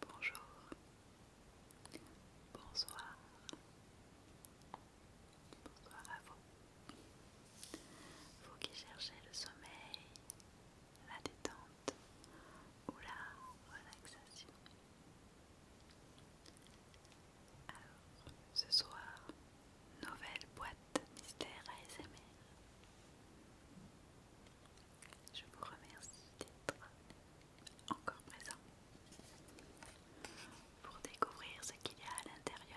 Bonjour, bonsoir, bonsoir à vous. Vous qui cherchez le sommeil, la détente ou la relaxation. Alors, ce soir, nouvelle boîte je vous remercie d'être encore présent pour découvrir ce qu'il y a à l'intérieur.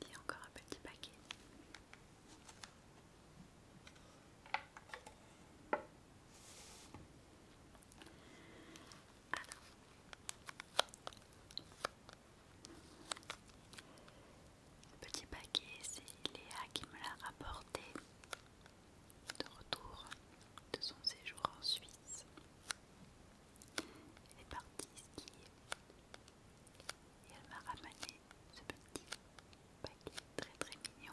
Il y a encore un petit paquet petit paquet, c'est Léa qui me l'a rapporté de retour de son séjour en Suisse. Elle est partie skier et elle m'a ramené ce petit paquet très très mignon.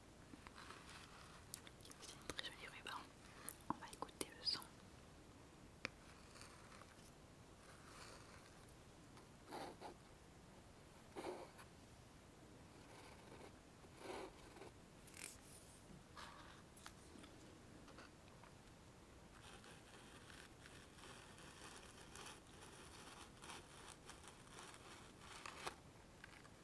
C'est une très jolie ruban. On va écouter le son.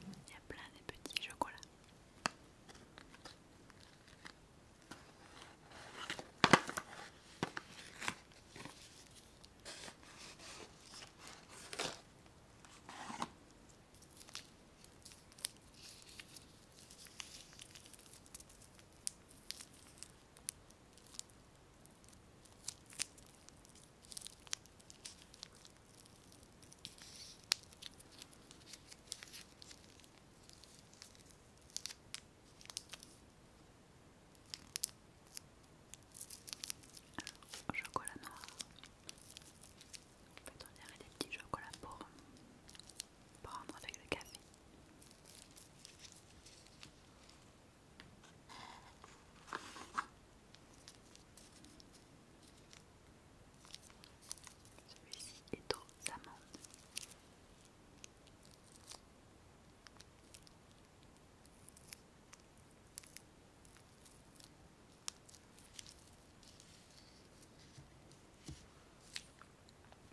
Il y a plein de petits chocolats. Alors, chocolat noir. on peut en dirait des petits chocolats pour prendre avec le café. Celui-ci est aux amandes. Il y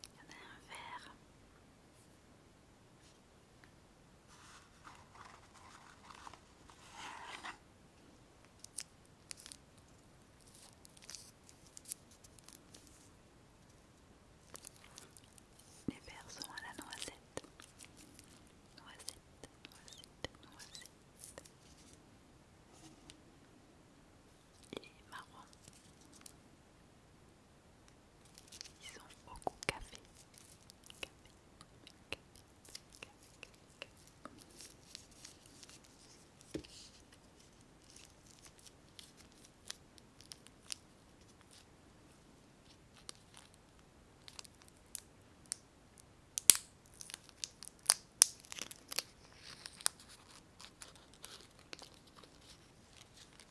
en a un vert les sont à la noisette. Noisette, noisette, noisette. et marron. Ils sont au café.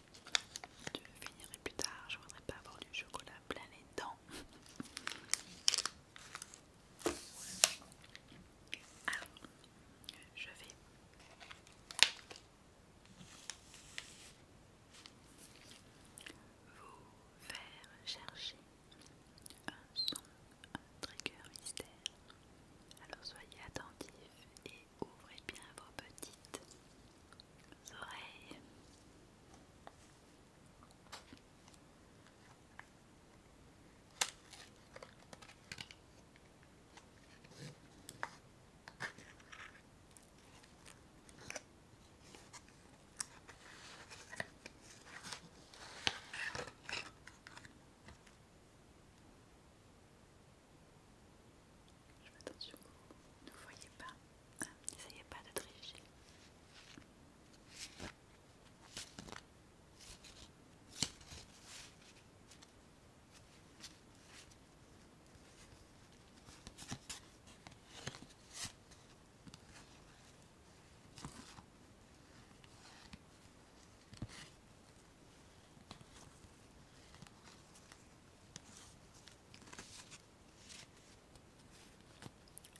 Je finirai plus tard, je voudrais pas avoir du chocolat plein les dents. Alors, je vais vous faire chercher un son, un trigger mystère. Alors soyez attentifs et ouvrez bien vos petites oreilles. Je fais attention vous ne voyez pas. N'essayez pas de tricher.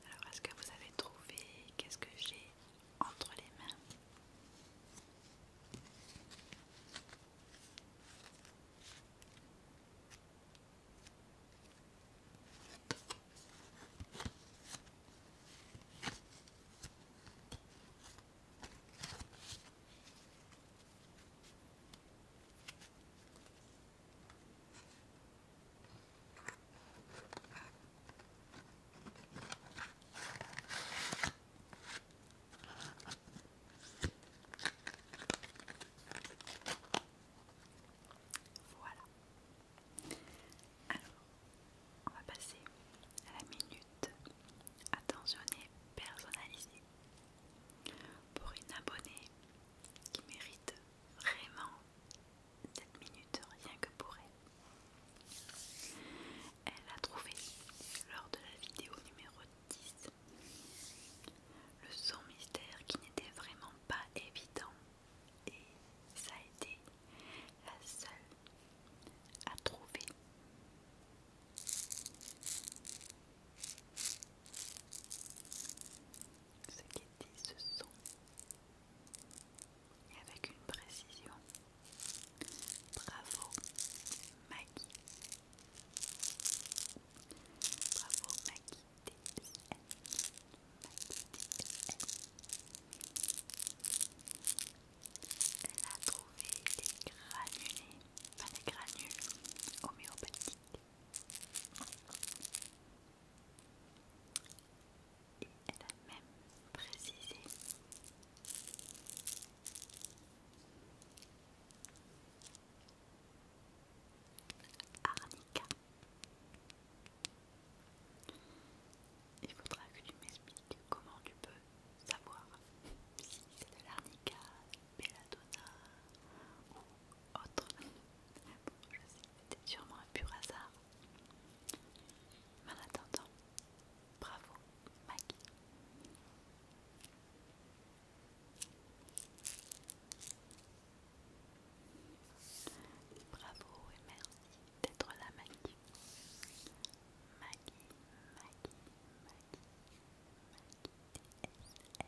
Alors, est-ce que vous avez trouvé qu'est-ce que j'ai entre les mains voilà. Alors, on va passer à la minute attentionnée personnalisée. Pour une abonnée qui mérite vraiment cette minute rien que pour elle. Elle a trouvé lors de la vidéo numéro 10 le son mystère qui n'était vraiment pas évident et ça a été la seule à trouver ce qui dit, ce son, et avec une précision. Bravo, Maggie. Bravo, Maggie Elle a trouvé des granulés, pas des granules homéopathiques et elle a même précisé Arnica. Il faudra que tu m'expliques comment tu peux savoir si c'est de l'arnica, belladonna ou autre. Bon, je sais, c'était sûrement un pur hasard. Mais en attendant, bravo, Maggie. Bravo et merci d'être là, Maggie. Maggie, Maggie, Maggie, Maggie,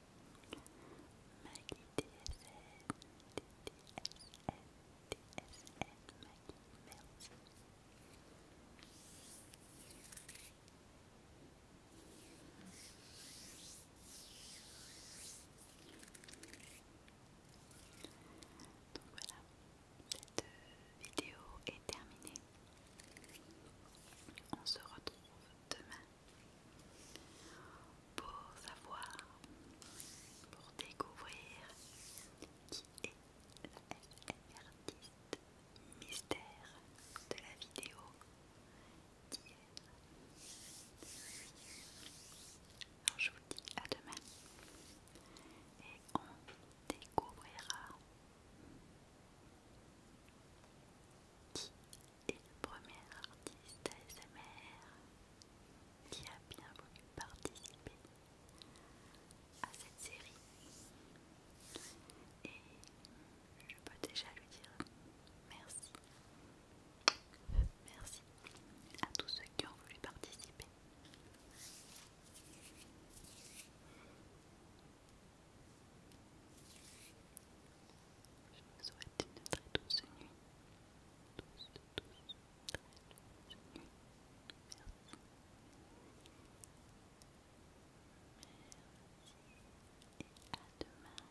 Donc voilà, cette vidéo est terminée. On se retrouve demain pour savoir, pour découvrir qui est la mystère de la vidéo d'hier. Alors je vous dis à demain et on découvrira qui et le premier artiste ASMR qui a bien voulu participer à cette série. Et je peux déjà lui dire merci. Merci à tous ceux qui ont voulu participer. Je vous souhaite très douce nuit. Douce, très douce nuit. Merci. Merci. Et À demain.